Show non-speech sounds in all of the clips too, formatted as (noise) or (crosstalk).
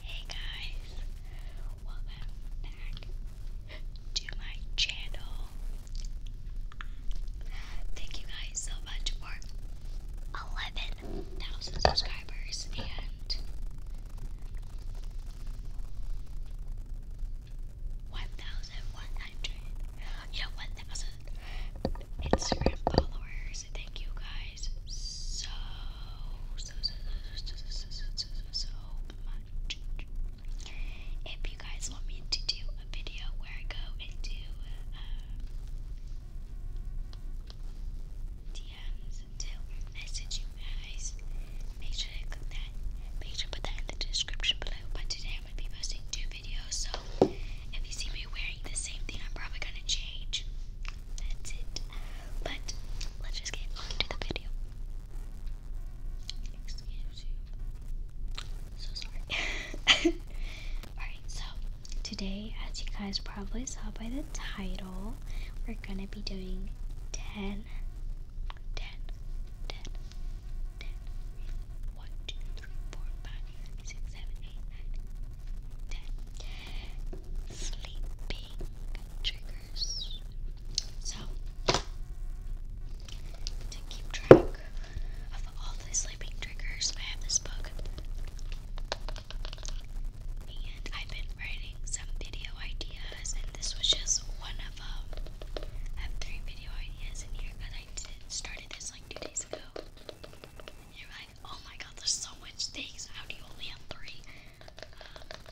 Hey guys, welcome back to my channel. Thank you guys so much for 11,000 subscribers and 1,100, yeah, 1,000 Instagram followers. Thank you guys so so so so so so so much. If you guys want me to do a video where I go and DMs to message you guys, make sure to click that. Make sure to put that in the description below. But today I'm gonna be posting two videos, so if you see me wearing the same thing. I'm probably gonna change. That's it. But let's just get on the video. So sorry. (laughs) Alright, so today, as you guys probably saw by the title, we're gonna be doing 10 sleeping triggers. So, to keep track of all the sleeping triggers, I have this book. And I've been writing some video ideas, and this was just one of them. I have three video ideas in here because I started this like two days ago you're like, oh my god, there's so much things. How do you only have three? Um,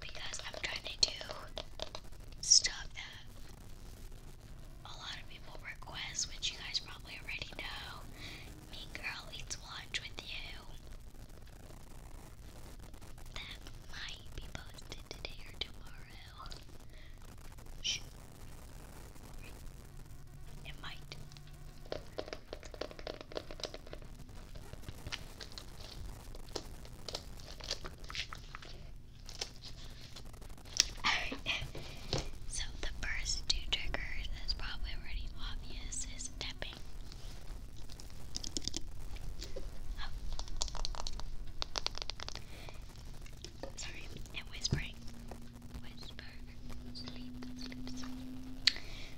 because I'm trying to do stuff that a lot of people request, which you guys probably already know. Mean Girl eats lunch with you. That might be posted today or tomorrow. (laughs) so the first two triggers is probably already obvious is tapping. Oh. Sorry, and whispering.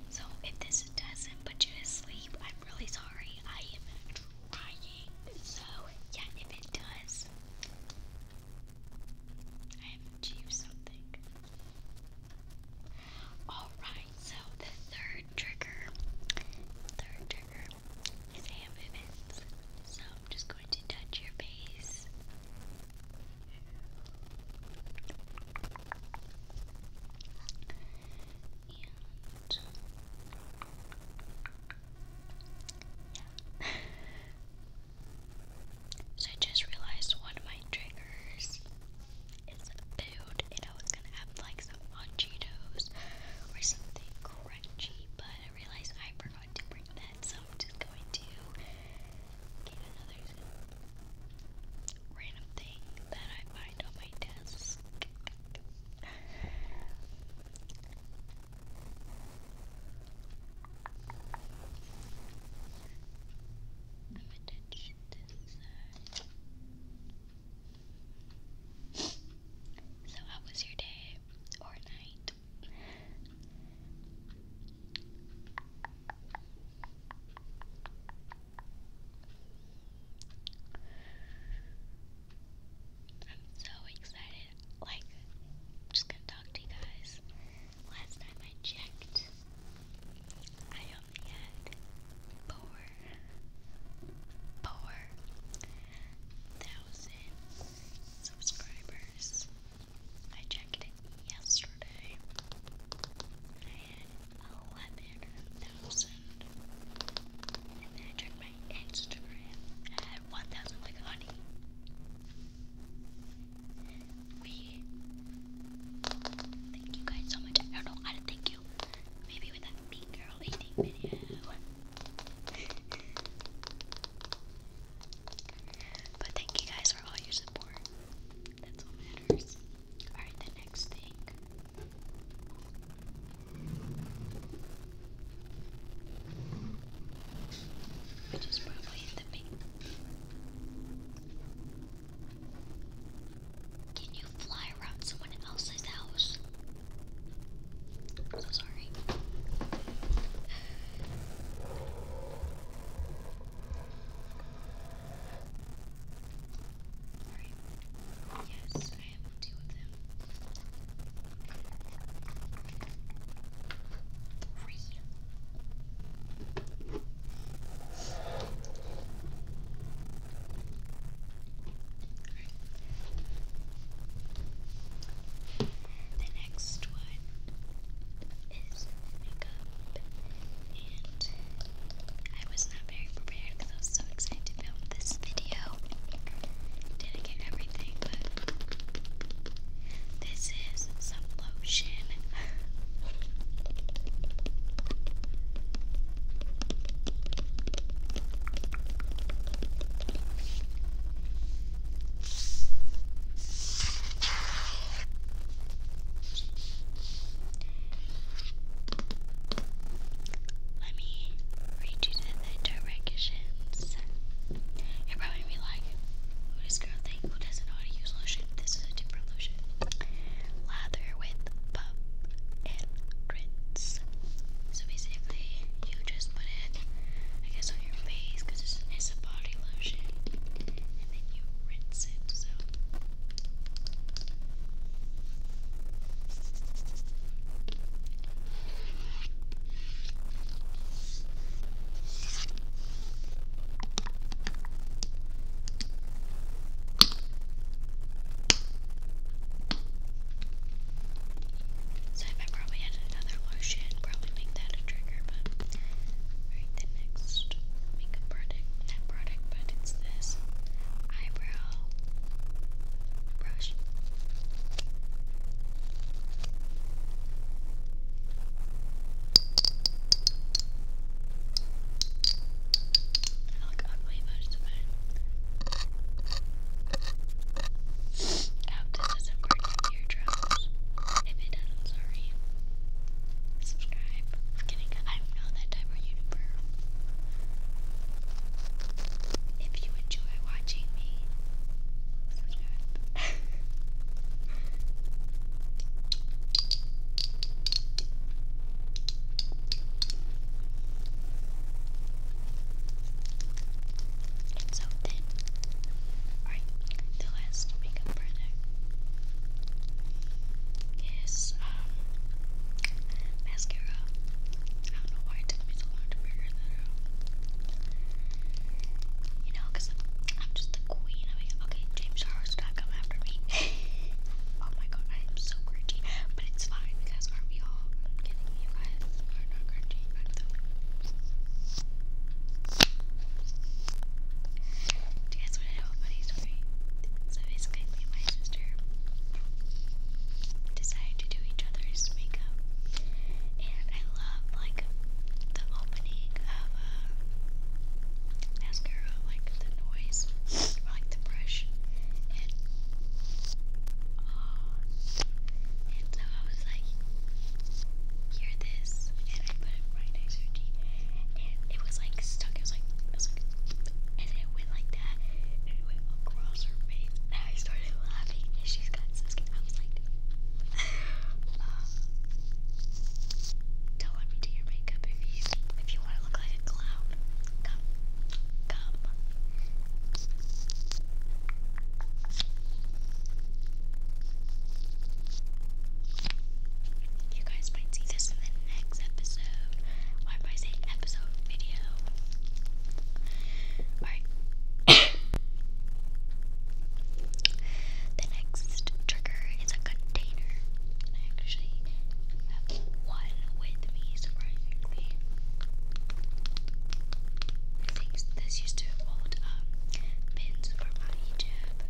So if this doesn't put you to sleep, I'm really sorry. I am trying. So yeah, if it does, I have achieved something. Alright, so the third trigger, third trigger is hand So I'm just going to touch your face (laughs) so I just realized one of my triggers is food, and I was gonna have like some on or something crunchy, but I realized I forgot to bring that, so I'm just going to Get another random thing that I find on my desk. So, how was your day or night? I'm so excited. Like, just gonna talk to you guys. Last time I checked, I only had four, four thousand subscribers. I checked it yesterday. I eleven thousand. And then I checked my Instagram. I had one thousand like honey. We thank you guys so much. I don't know how to thank you. Maybe with that mean girl eating video. But thank you guys for all your support. That's all matters. Alright, the next thing. Which is probably the big. Can you fly around someone else's house? I'm so sorry. Alright. Yes, I have two of them. Three next one is makeup. And I was not very prepared because I was so excited to film this video. Didn't get everything, but this is some lotion. Let me read you the directions. You're probably be like, who girl think who doesn't know how to use lotion? This is a different lotion. Lather with puff and rinse. So basically, you just put it, I guess, on your face because it's, it's a body lotion, and then you rinse that's it. So so if probably had another lotion, probably make that a trigger, but the next makeup product, not product, but it's this eyebrow brush. I look ugly most of it. hope this doesn't burn your eardrums. If it does, I'm sorry subscribe. I'm kidding, I'm not that type of YouTuber. If you enjoy watching me, subscribe. (laughs) so thin. Alright, the last makeup product is um mascara. I don't know why it took me so long to figure that You know, i am just the queen. okay, James Charles not come after me. (laughs) oh my god, I am so cringy, but it's fine because aren't we all? i you guys. are not cringy. Do you guys want to know a funny story? So basically, my sister decided to do each other's makeup, and I love like the opening of uh, mascara, like the noise, like the brush, oh, and so I was like, hear this, and I put it right next to her teeth and it was like stuck. It was like, it was like, and it went like that, it went across her face. And I started laughing, and she got I was like, don't let me do your makeup if you if you want to look like a clown. Come, come you guys might see this in the next episode. Why am I saying episode video? Alright. (coughs) the next trigger is a container. I actually have one with me, surprisingly. I this used to hold um, pins for my YouTube,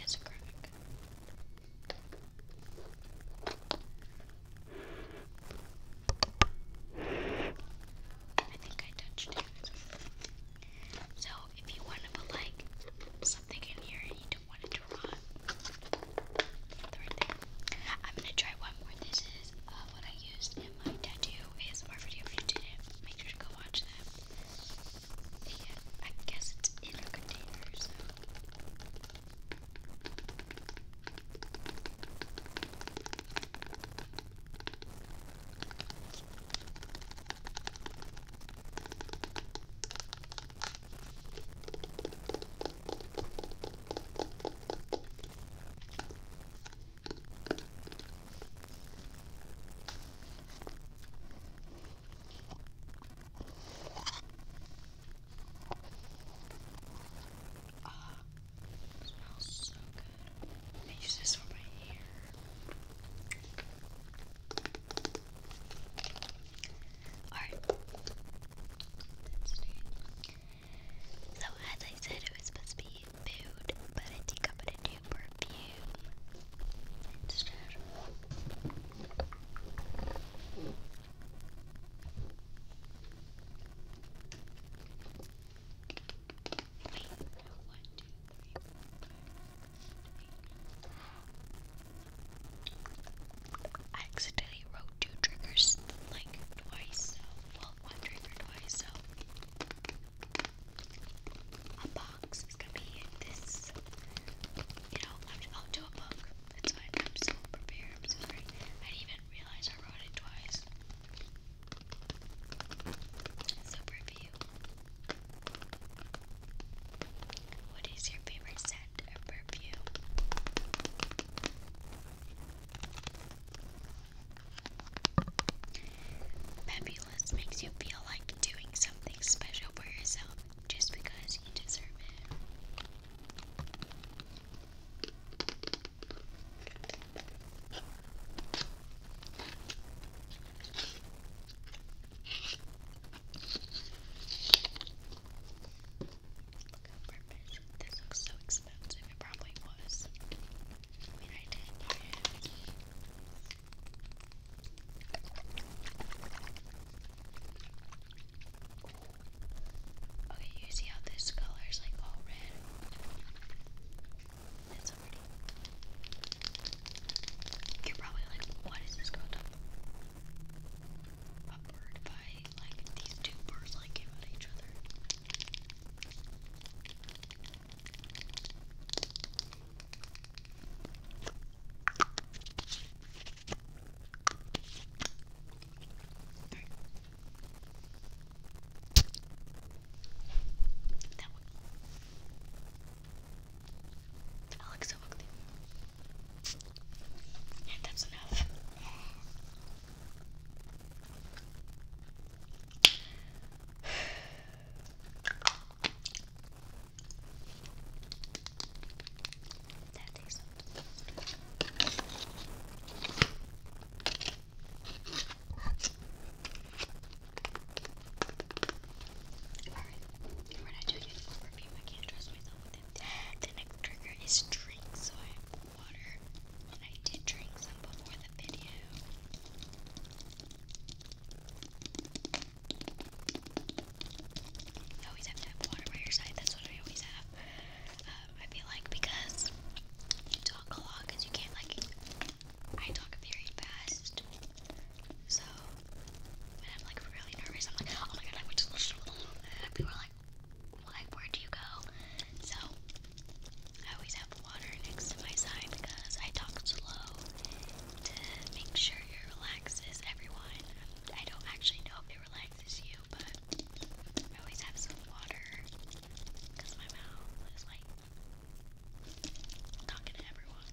It's a graphic. I think I touched it. So if you want to put like something in here and you don't want it to rot, right there. I'm gonna try one more. This is uh, what I used in my tattoo If you didn't, make sure to go watch that. I guess it's in a container, Ah, smells so good. I use this for my hair. Alright. So as I said, it was supposed to be food, but I decomposed it new perfume I accidentally wrote two triggers like twice, so well, one trigger twice, so unbox is gonna be this. You know, i will do a book. It's fine. I'm so prepared. I'm sorry. I didn't even realize I wrote it twice. So review. What is your favorite scent of perfume? Peppy this makes you feel like doing something special for yourself just because you deserve it. Perfect. This looks so expensive. It probably was. Wait, I did. Okay, you see how this color is like all red? That's already. You're probably like, what is this called? A bird Like, these two birds like came each other. That one. I look so ugly. Yeah, that's enough. That is Alright, The next trigger is drink, so water. And I did drink some before the video. You always have water by your side. That's what I always have. Um, I feel like because you talk a lot, because you can't like. I talk very fast, so when I'm like really nervous, I'm like, oh my god, I would just. And people are like, like, where do you go? So I always have water next to my side because I talk slow Make sure it relaxes everyone. I don't actually know if it relaxes you, but I always have some water because my mouth is like talking to everyone.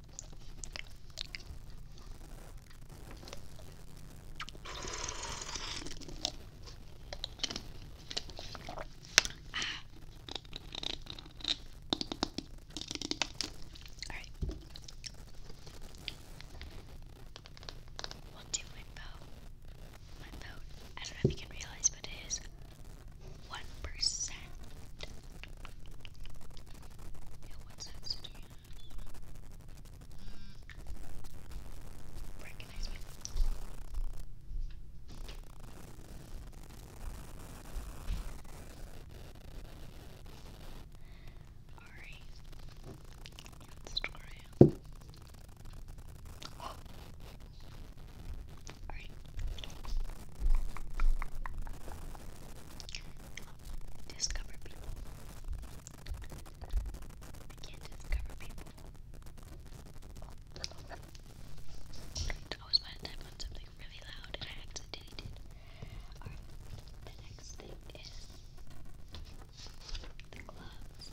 Alright. we my bow. My boat. I don't know if you can realize, but it is one percent. Yeah, what sense do you Alright. Discover people. I can't discover people. I was about to on something really loud and I accidentally did. Alright, the next thing is the gloves.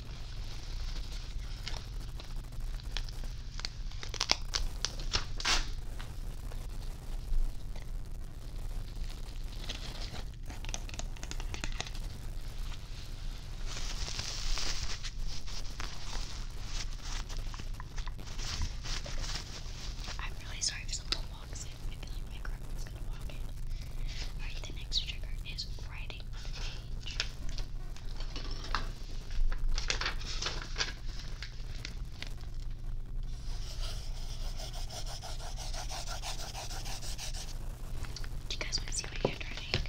I'm really sorry if someone walks in. I feel like my grandma's gonna walk in. Alright, the next trigger is writing do you guys want to see my handwriting?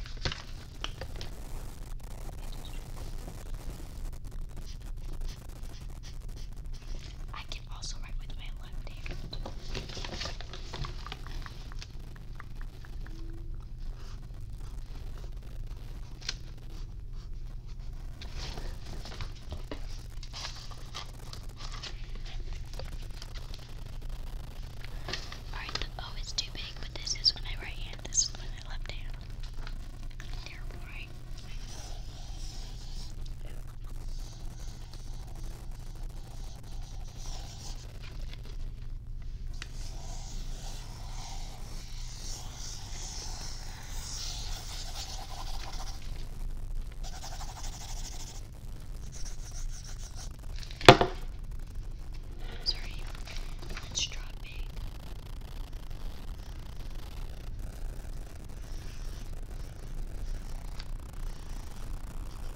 I can also write with my left hand. Alright, oh, it's too big, but this is my right hand, this is my left hand. Terrible, right? Ooh. Sorry, it's dropping.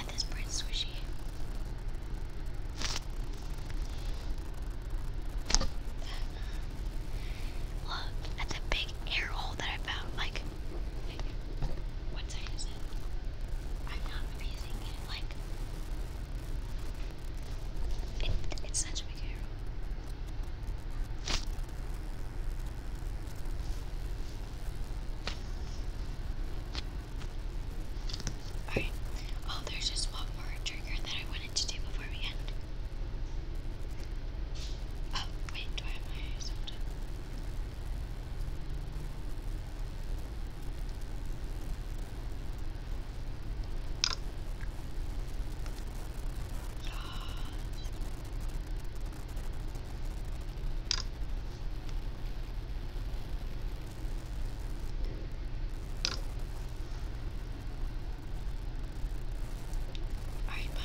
At this point, swishy. Look at the big air hole that I found. Like, what side is it? I'm not amazing. Like, it's such a big arrow. Alright. Oh, there's just one more trigger that I wanted to do before we end. Oh, wait, do I have my soda? Alright, bye.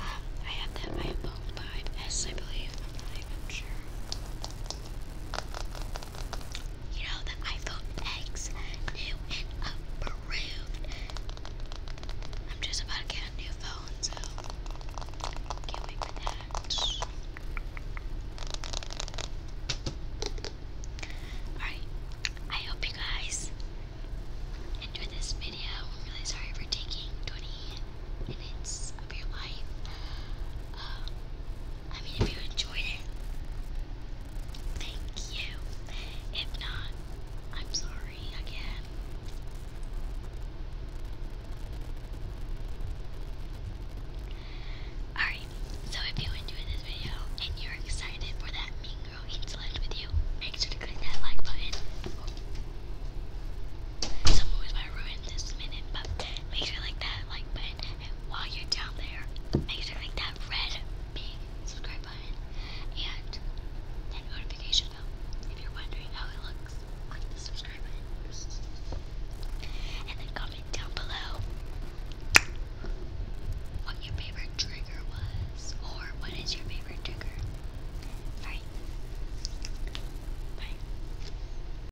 Um, I had that by a bona fide S, I believe. I'm not even sure. You know, the iPhone X, new and approved. I'm just about to get a new phone, so can't wait for that. Alright, I hope you guys enjoyed this video. I'm really sorry for taking 20 minutes um, I mean, if you enjoyed it, Alright, so if you enjoyed this video and you're excited for that Mean Girl Eats with you, make sure to click that like button. Some movies might ruin this minute, but make sure to like that like button and while you're down there, make sure to hit that red big subscribe button and that notification bell. If you're wondering how it looks, click the subscribe button. And then comment down below what your favorite trigger was, or what is your favorite trigger. Alright. Bye.